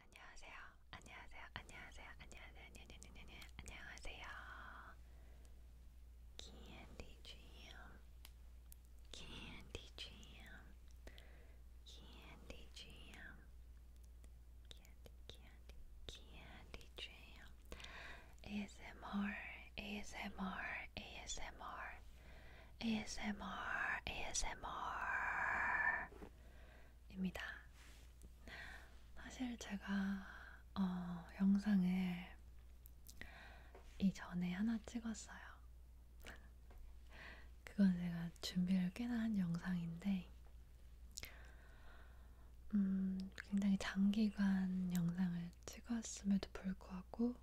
안녕하세요. 안녕하세요. 안녕하세요. 안녕하세요. 안녕하세요. 안녕하세요. Candy Jam. Candy Jam. Candy Jam. Candy Candy Candy Jam. ASMR. ASMR. ASMR. ASMR, ASMR 입니다. 사실 제가 어, 영상을 이전에 하나 찍었어요. 그건 제가 준비를 꽤나 한 영상인데 음, 굉장히 장기간 영상을 찍었음에도 불구하고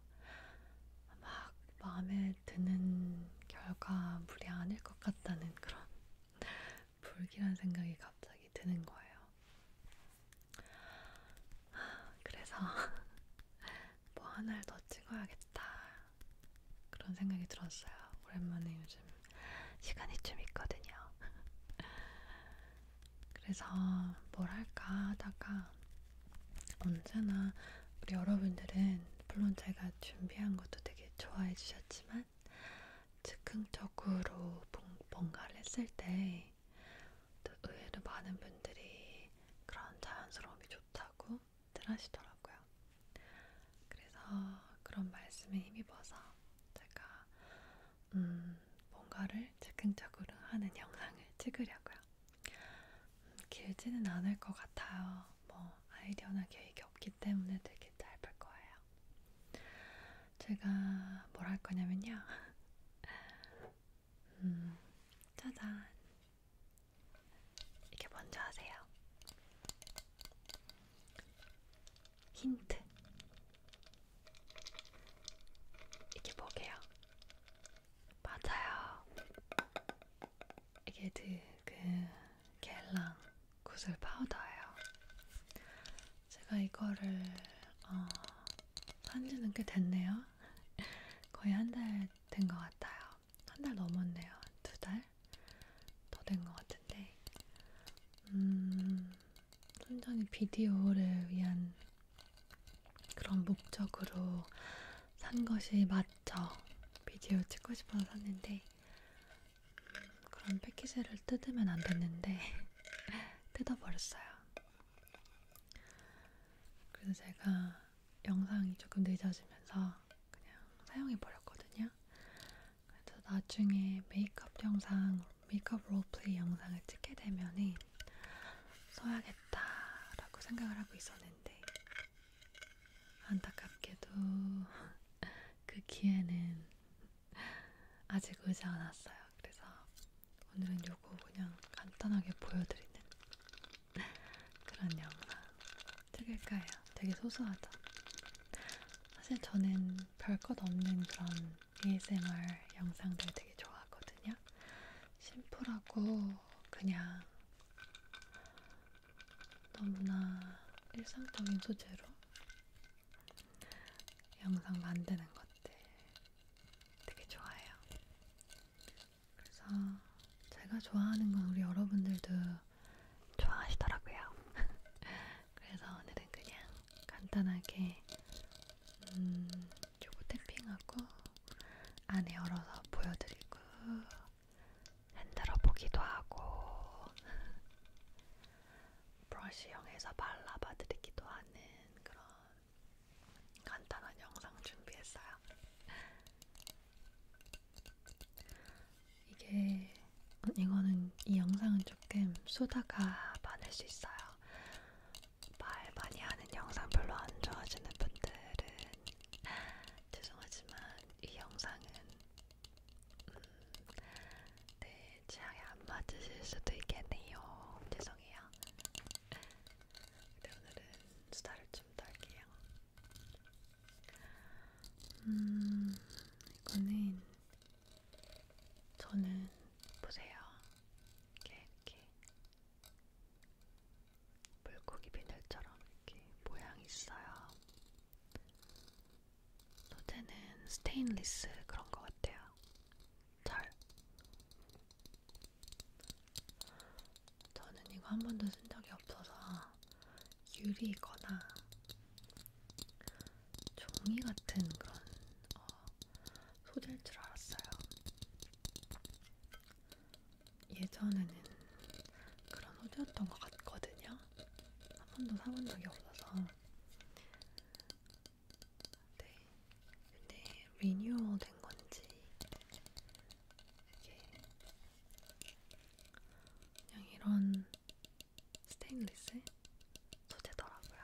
막 마음에 드는 결과물이 아닐 것 같다는 그런 불길한 생각이 갑자기 드는 거예요. 그래서 뭐 하나를 더 찍어야겠다 그런 생각이 들었어요. 오랜만에 요즘 시간이 좀 있거든요. 그래서 뭘 할까 하다가 언제나 우리 여러분들은 물론 제가 준비한 것도 되게 좋아해 주셨지만 즉흥적으로 뭔가를 했을 때 의외로 많은 분들이 그런 자연스러움이 좋다고 들 하시더라고요. 그래서 그런 말씀에 힘입어서 제가 음 뭔가를 즉흥적으로 하는 영상을 찍으려고요. 음, 길지는 않을 것 같아요. 뭐 아이디어나 계획이 없기 때문에 되게 짧을 거예요. 제가 뭘 할 거냐면요. 음, 짜잔. 이게 먼저 하세요. 힌트. 이게 뭐게요? 맞아요. 이게 그 겔랑 그 구슬 파우더예요. 제가 이거를 어, 산지는 꽤 됐네요. 거의 한 달 된 것 같아요. 한 달 넘었네요. 두 달? 더 된 것 같은데. 음, 순전히 비디오를 위한 그런 목적으로 산 것이 맞죠. 비디오 찍고 싶어서 샀는데 음, 그런 패키지를 뜯으면 안 됐는데 뜯어버렸어요. 그래서 제가 영상이 조금 늦어지면서 그냥 사용해버렸거든요. 그래서 나중에 메이크업 영상, 메이크업 롤플레이 영상을 찍게 되면은 써야겠다라고 생각을 하고 있었는데 안타깝게도 그 기회는 아직 오지 않았어요. 그래서 오늘은 요거 그냥 간단하게 보여드리는 그런 영상 찍을까요? 되게 소소하죠? 사실 저는 별 것 없는 그런 ASMR 영상들 되게 좋아하거든요. 심플하고 그냥 너무나 일상적인 소재로 영상 만드는 것들 되게 좋아해요. 그래서 제가 좋아하는 건 우리 여러분들도 좋아하시더라고요. 그래서 오늘은 그냥 간단하게 음, 요거 탭핑하고 안에 열어서 보여드리고 흔들어 보기도 하고 브러쉬형에서 발라봐 드리기도 하는 그런 간단한 영상 준비했어요. 이게 이거는 이 영상은 조금 수다가 많을 수 있어요. 말 많이 하는 영상 별로 안 좋아하시는 분들은 죄송하지만 이 영상은 음, 네 취향에 안 맞으실 수도 있겠네요. 죄송해요. 근데 네, 오늘은 수다를 좀 떨게요. 음 이거는 저는 보세요. 이렇게 이렇게 물고기 비늘처럼 이렇게 모양이 있어요. 소재는 스테인리스 그런 것 같아요. 잘. 저는 이거 한 번도 쓴 적이 없어서 유리거나 종이 같은 그런 어, 소재일 줄 알았어요. 예전에는 그런 소재였던 것 같거든요. 한 번도 사본 적이 없어서. 네. 근데 리뉴얼 된 건지 이게 그냥 이런 스테인리스 소재더라고요.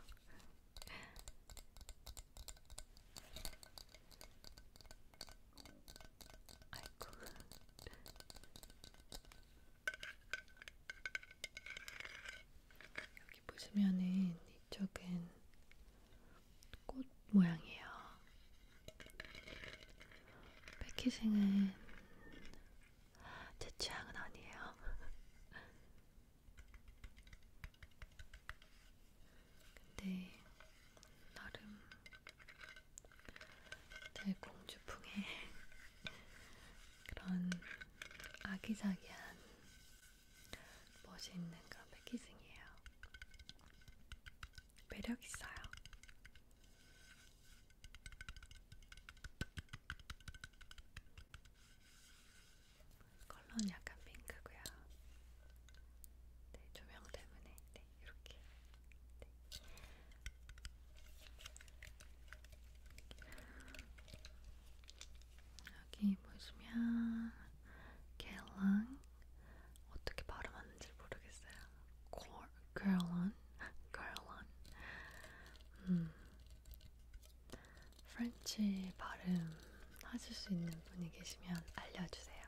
아이고. 여기 보시면은 이쪽은 꽃 모양이에요. 패키징은 제 취향은 아니에요. 근데 나름 제 공주풍의 그런 아기자기한 멋있는 그런 패키징이에요. 매력 있어요. 컬러는 약간 핑크고요. 네, 조명 때문에 네, 이렇게 네. 여기 보시면 겔랑 어떻게 발음하는지 모르겠어요. 겔런, 겔런. 음, 프렌치 발음 하실 수 있는 분이 계시면 알려주세요.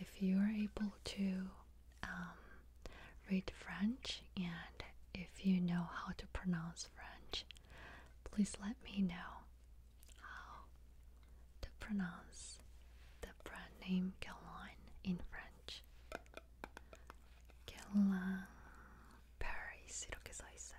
If you are able to um, read French and if you know how to pronounce French, please let me know how to pronounce the brand name Guerlain in French. Guerlain Paris 이렇게 써 있어요.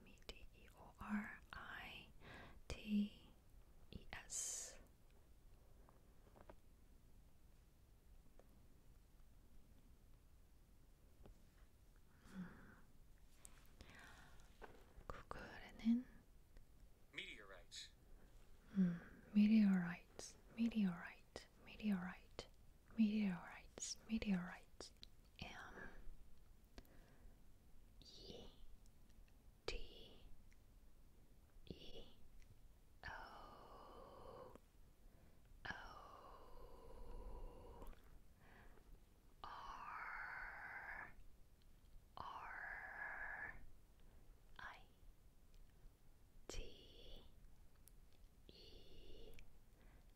M E D E O R I T E S. 구글에는 hmm. meteorites. 음, hmm. meteorites, meteorite, meteorite, meteorites, meteorites. Um, E T E O O R R I T E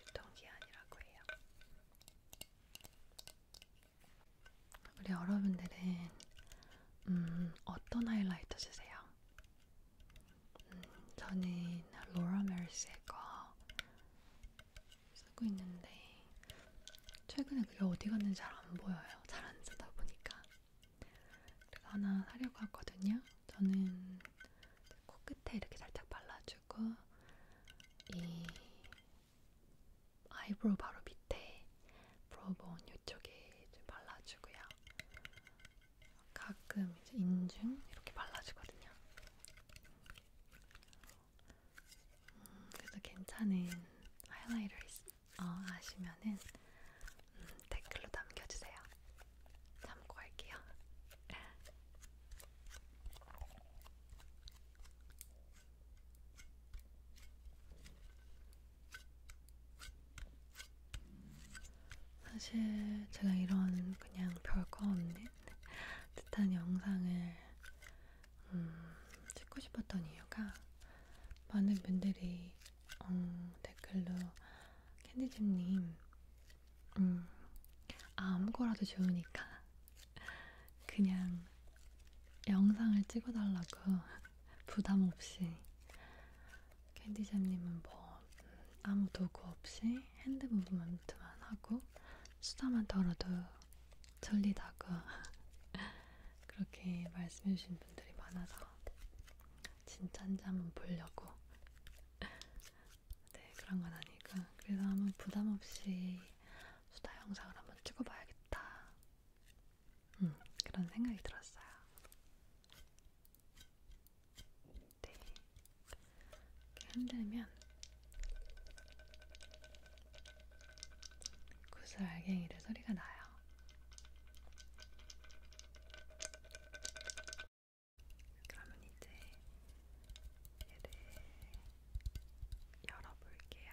유통기한이라고 해요. 우리 여러분들은 음, 어떤 하이라이터 쓰세요? 음, 저는 로라 메르스의 거 쓰고 있는데 최근에 그게 어디 갔는지 잘 안 보여요. 잘 안 쓰다 보니까. 그래서 하나 사려고 하거든요. 저는 코끝에 이렇게 살짝 발라주고 이 아이브로우 바로 밑에 브로우본 이쪽에 좀 발라주고요. 가끔 이제 인중 이렇게 발라주거든요. 음, 그래서 괜찮은 하이라이터 어, 아시면은 음, 댓글로 남겨주세요. 참고할게요. 사실 제가 이런 그냥 별거 없는 듯한 영상을 음, 찍고 싶었던 이유가 많은 분들이 음, 댓글로 캔디집님 음, 아무거라도 좋으니까 그냥 영상을 찍어달라고 부담 없이 캔디잼님은 뭐 음, 아무 도구 없이 핸드 무브먼트만 하고 수다만 떨어도 졸리다고 그렇게 말씀해주신 분들이 많아서 진짠지 한번 보려고 네, 그런 건 아니까. 그래서 한번 부담 없이 수다 영상을 한번 찍어봐야겠다. 음, 그런 생각이 들었어요. 네. 이렇게 흔들면 구슬 알갱이를 소리가 나요. 그러면 이제 얘를 열어볼게요.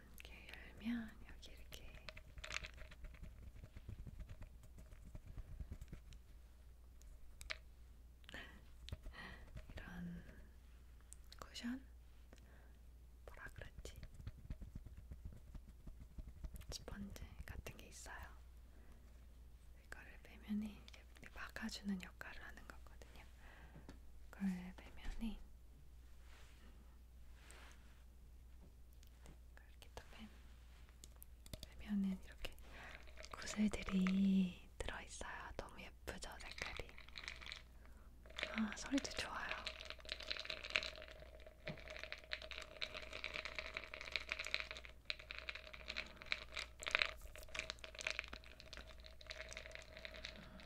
이렇게 열면 여기 이렇게 이런 쿠션 뭐라 그랬지? 스펀지 같은 게 있어요. 이거를 빼면이 막아주는 역할을 하는 거거든요. 그걸 빼면이 그러니까 이렇게 딱 빼면은 이렇게 구슬들이 들어있어요. 너무 예쁘죠, 색깔이. 아, 소리도 좋아요.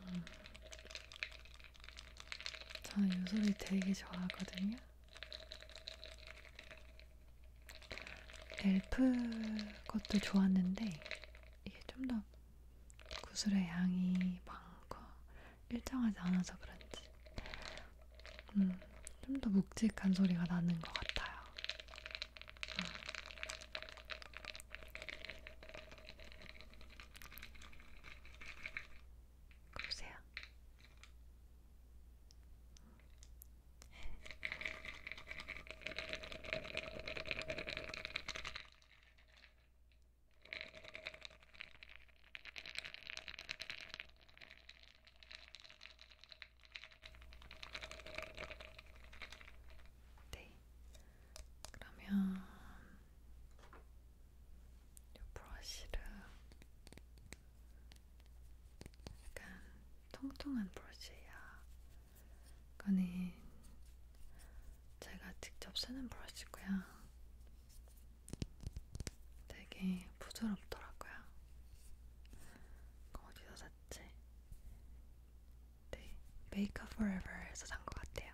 음. 저는 이 소리 되게 좋아하거든요. 엘프 것도 좋았는데 이게 좀 더 구슬의 양이 많고 일정하지 않아서 그런지 음, 좀더 묵직한 소리가 나는 것 같아요. 음. 그러세요. 네. 그러면 이 브러쉬를 약간 통통한 브러쉬야. 이거는 제가 직접 쓰는 브러쉬고요. 되게 부드럽더라고요. 이거 어디서 샀지? 네, 메이크업 포에버에서 산 것 같아요.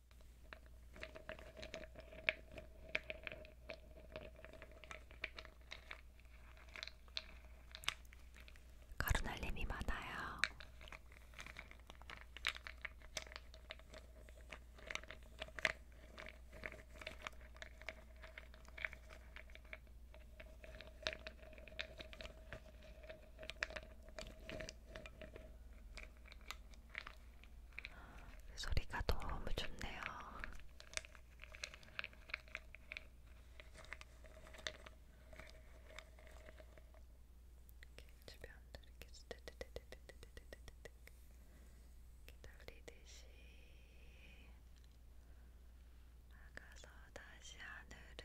가루날림이 많아요. 소리가 너무 좋네요. 주변도 이렇게 기다리듯이 막아서 다시 하늘을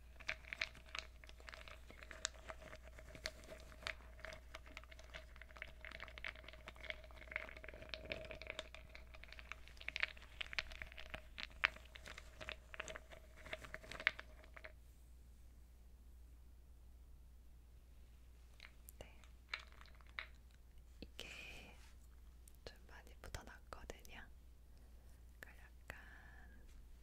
네. 이게 좀 많이 묻어났거든요. 그러니까 약간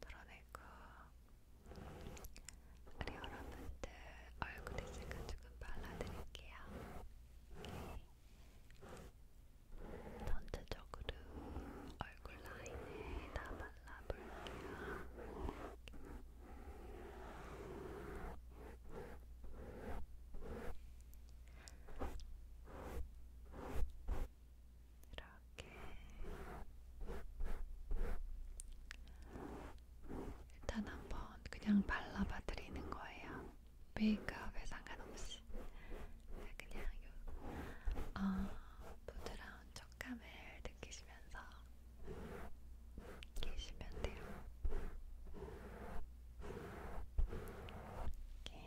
드러내고 우리 여러분들 얼굴에 제가 조금 발라드릴게요. 네. 전체적으로 얼굴 라인에 다 발라볼게요. 이렇게 일단 한번 그냥 발라봐 드리는 거예요. 메이크업에 상관없이 그냥 요 어, 아, 부드러운 부드러운 촉감을 느끼시면서 계시면 돼요. 이렇게.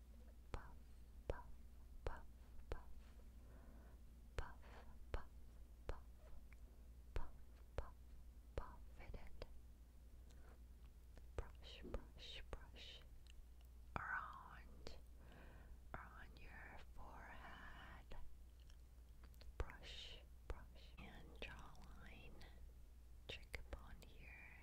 puff, puff, puff, puff, puff, puff, puff, puff, puff, puff it in. Brush, brush, brush around, around your forehead. Brush, brush, and jawline. Cheekbone here,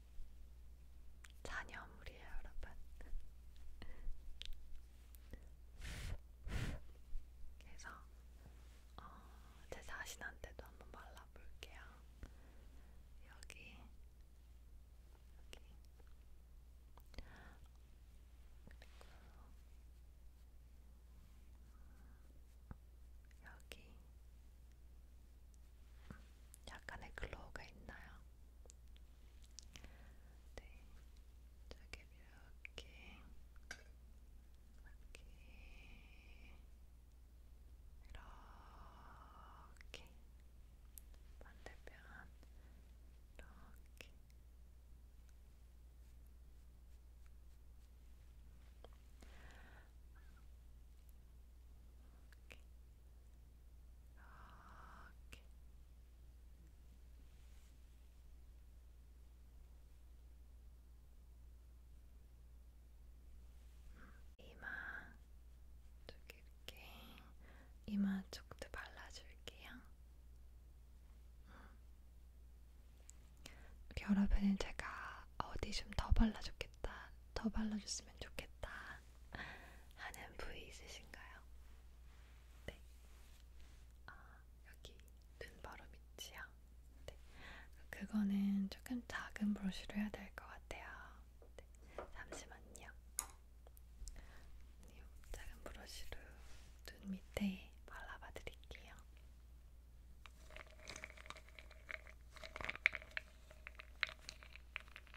잔여물이에요, 여러분. 그래서 어, 제 자신한테도 한번 발라볼게요. 여기, 여기. 그리고 음, 여기. 약간의 글로우가 있나요? 네, 저게 이렇게, 이렇게, 이렇게, 반대편, 이렇게. 이렇게 이렇게 이마 저기 이렇게 이마 쪽도 발라줄게요. 여러분은 제가 어디 좀 더 발라줬겠다, 더 발라줬으면 좋겠다 하는 부위 있으신가요? 네. 아, 여기 눈 바로 밑이요. 네. 그거는 조금 작은 브러쉬로 해야 될 것 같아요. 네. 잠시만요. 이 작은 브러쉬로 눈 밑에 발라봐 드릴게요.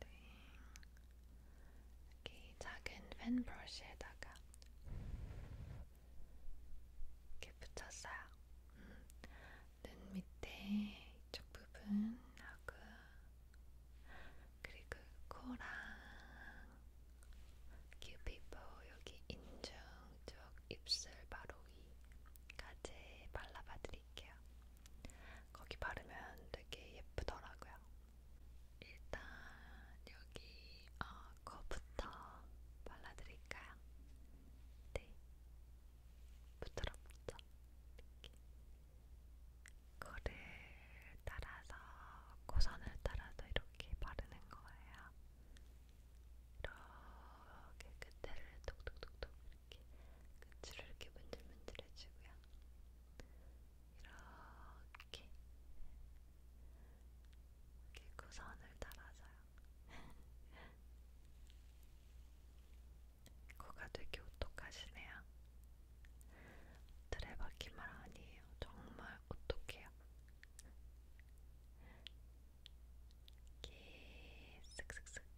네. 이렇게 작은 펜 브러쉬에다가 이렇게 붙였어요. 음, 눈 밑에 이쪽 부분하고 그리고 코랑 큐피포 여기 인중 쪽 입술 바로 위까지 발라봐 드릴게요. 거기 바르면 되게 예쁘더라고요. 일단 여기 어, 코부터 발라드릴까요? 네, 부드럽죠? 이렇게. 코를 따라서 코선을 따라서 이렇게 바르는 거예요. 이렇게 끝에를 톡톡톡톡 이렇게 끝으로 이렇게 문들문들 해주고요. 이렇게 이렇게 구선을 달아줘요. 코가 되게 오똑하시네요. 드레바퀴말 아니에요. 정말 오똑해요. 이렇게 쓱쓱쓱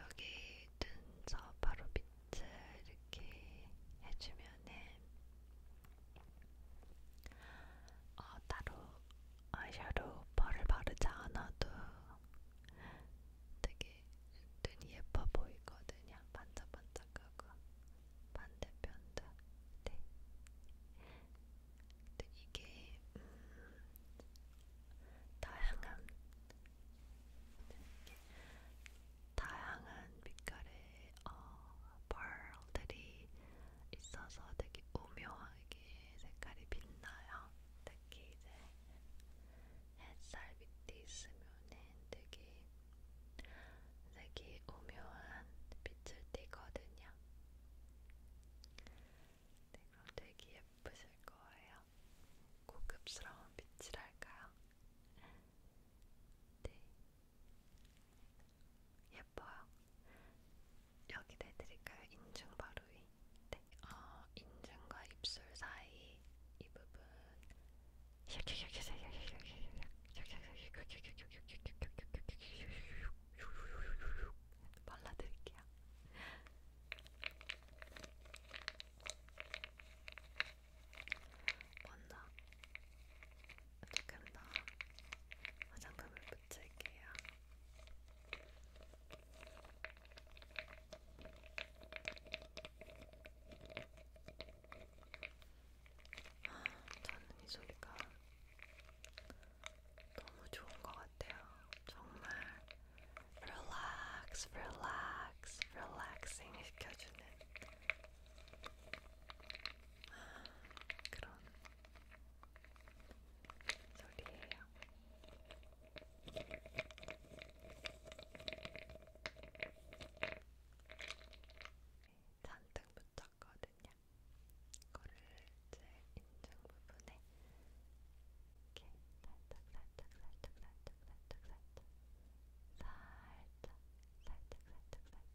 여기 눈썹 바로 밑을 이렇게 해주면은 어, 따로 아이섀도우 펄을 바르지 않아도 되게 눈이 예뻐 보이거든요. 반짝반짝하고 반대편도 네. 근데 이게 음, 다양한 이렇게 다양한 빛깔의 어, 벌들이 있어서 되게 오묘하게 색깔이 빛나요. 특히 이제 햇살 밑에 있으면은 되게 색이 오묘한 빛을 띠거든요. 네, 그럼 되게 예쁘실 거예요. 고급스러운 빛이랄까요? 네. 예뻐요. 여기 내드릴까요? 인중 바로 위. 네. 어, 인중과 입술 사이 이 부분. 발라드릴게요. 먼저 조금 더 화장품을 붙일게요. 아, 저는 이 소리가 너무 좋은 것 같아요. 정말 relax, relax, relaxing 시켜주는 그런 소리예요. 잔뜩 묻혔거든요. 이거를 제 인중 부분에 이렇게 살짝 살짝 살짝 살짝 살짝 살짝 살짝 살짝 살짝 살짝 살짝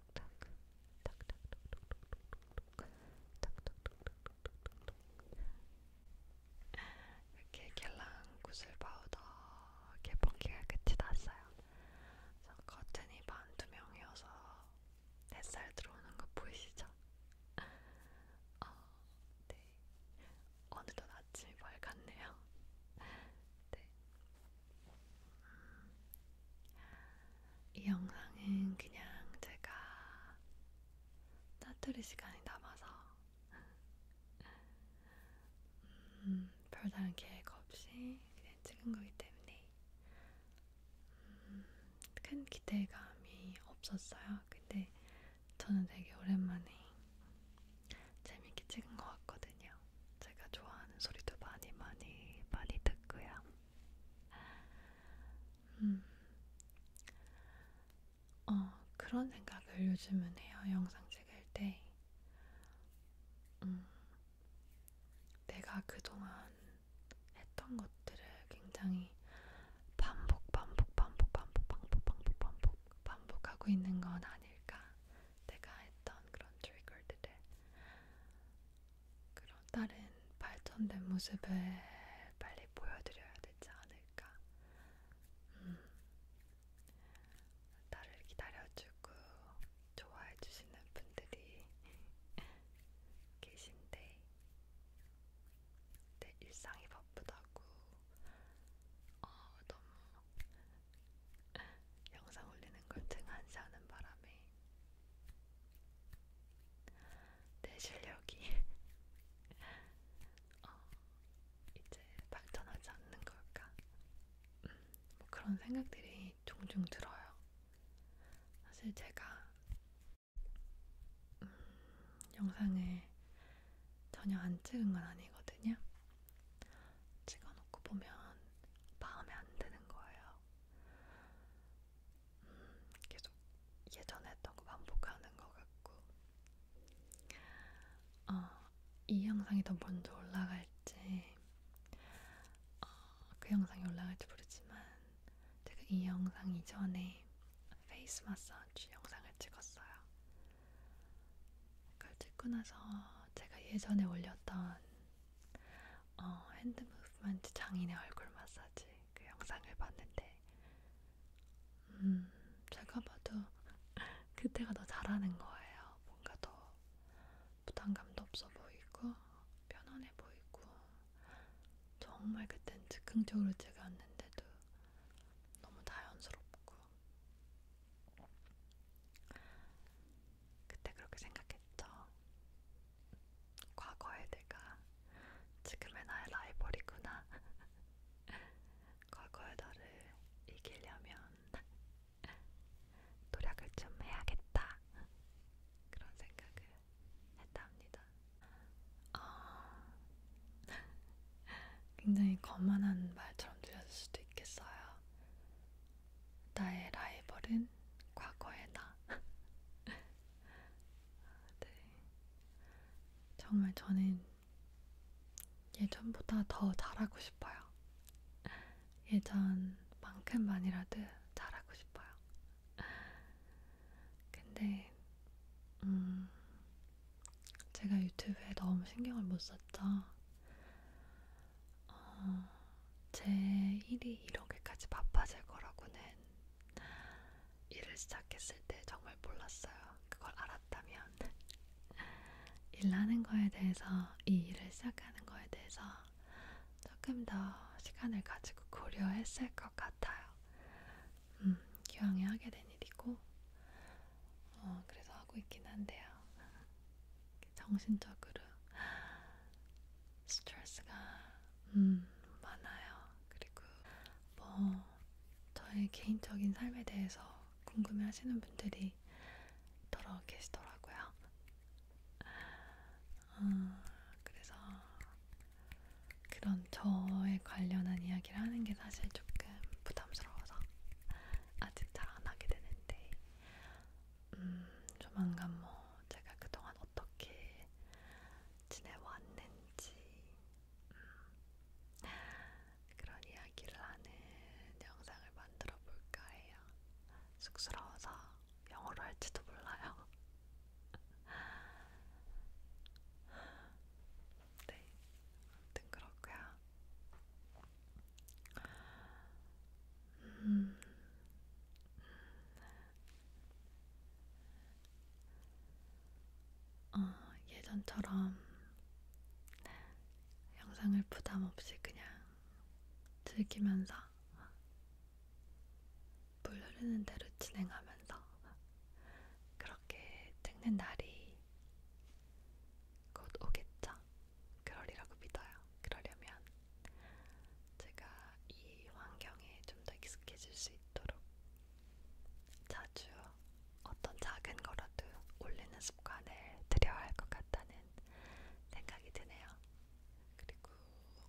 이렇게 겔랑 구슬 파우더 개봉기가 끝이 났어요. 그래서 커튼이 반투명이어서 햇살 들어오는 거 보이시죠? 어, 네. 어느덧 아침이 밝았네요. 네. 이 영상은 그냥 제가 짜투리 시간이 남아서 음, 별다른 계획 없이 그냥 찍은 거기 때문에 음, 큰 기대감이 없었어요. 근데 저는 되게 오랜만에 재밌게 찍은 것 같거든요. 제가 좋아하는 소리도 많이 많이 많이 듣고요. 음. 어, 그런 생각을 요즘은 해요. 영상 찍을 때. 음. 내가 그동안 했던 것들을 굉장히 반복, 반복, 반복, 반복, 반복, 반복, 반복, 반복하고 있는 건 아닐까. 내가 했던 그런 트리거들을 그런 다른 발전된 모습을 빨리 보여드려야 되지 않을까. 음. 나를 기다려주고 좋아해주시는 분들이 계신데, 내 일상이 바쁘다고 어, 너무 영상 올리는 걸 등한시하는 바람에 내 실력이 어, 이제 발전하지 않는 걸까? 음, 뭐 그런 생각들이 종종 들어요. 사실 제가 음, 영상을 전혀 안 찍은 건 아니거든요. 찍어놓고 보면 마음에 안 드는 거예요. 음, 계속 예전에 했던 거 반복하는 것 같고 어, 이 영상이 더 먼저 올라갈지 어, 그 영상이 올라갈지 모르지만 제가 이 영상 이전에 페이스 마사지 영상을 찍었어요. 그걸 찍고 나서 제가 예전에 올렸던 어, 핸드 무브먼트 장인의 얼굴 마사지 그 영상을 봤는데 음, 제가 봐도 그때가 더 잘하는 거예요. 뭔가 더 부담감도 없어 보이고 편안해 보이고 정말 그땐 즉흥적으로 찍었는데도 너무 자연스럽고 그때 그렇게 생각했죠. 과거의 내가 지금의 나의 라이벌이구나. 과거의 너를 이기려면 노력을 좀 해야겠다. 그런 생각을 했답니다. 어... 굉장히 거만한 말처럼 들렸을 수도 있겠어요. 나의 라이벌은 는 과거의 나. 네. 정말 저는 예전보다 더 잘하고 싶어요. 예전만큼만이라도 잘하고 싶어요. 근데, 음, 제가 유튜브에 너무 신경을 못 썼죠. 어, 제 일이 이렇게까지 바빠질 거라고는 일을 시작했을 때 정말 몰랐어요. 그걸 알았다면 일하는 거에 대해서 이 일을 시작하는 거에 대해서 조금 더 시간을 가지고 고려했을 것 같아요. 음, 기왕에 하게 된 일이고, 어, 그래서 하고 있긴 한데요. 정신적으로 스트레스가 음, 많아요. 그리고 뭐 저의 개인적인 삶에 대해서 궁금해하시는 분들이 더러 계시더라고요. 어, 그래서 그런 저에 관련한 이야기를 하는 게 사실 조금 부담스러워서 아직 잘 안 하게 되는데 음, 조만간 뭐 제가 그동안 어떻게 지내왔는지 음, 그런 이야기를 하는 영상을 만들어 볼까 해요. 쑥스러워서 영어로 할지도 몰라요. 네, 아무튼 그렇고요. 음. 어, 예전처럼 영상을 부담 없이 그냥 즐기면서 물 흐르는 대로 진행하면서 그렇게 찍는 날이 곧 오겠죠. 그러리라고 믿어요. 그러려면 제가 이 환경에 좀 더 익숙해질 수 있도록 자주 어떤 작은 거라도 올리는 습관을 들여야 할 것 같다는 생각이 드네요. 그리고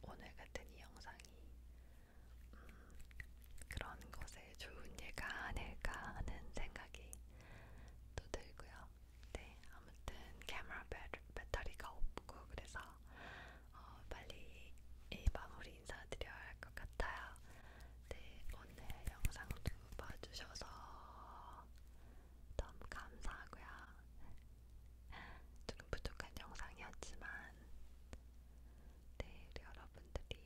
오늘 같은 이 영상이 음, 그런 것에 좋은 예가 아닐까 하는 생각이 또 들고요. 네, 아무튼 카메라 배터리가 없고 그래서 어, 빨리 이 마무리 인사드려야 할 것 같아요. 네, 오늘 영상도 봐주셔서 너무 감사하고요. 조금 부족한 영상이었지만 네, 우리 여러분들이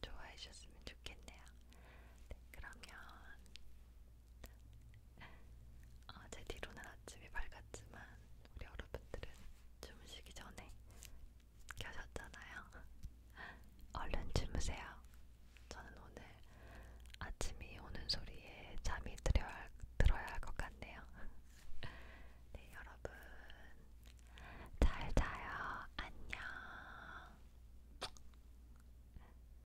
좋아해 주셨으면 좋겠네요. 네, 그러면 어, 제 뒤로는 아침이 밝았지만 우리 여러분들은 주무시기 전에 켜셨잖아요. 얼른 주무세요. 저는 오늘 아침이 오는 소리에 잠이 들어야, 들어야 할것 같네요. 네, 여러분. 잘 자요. 안녕.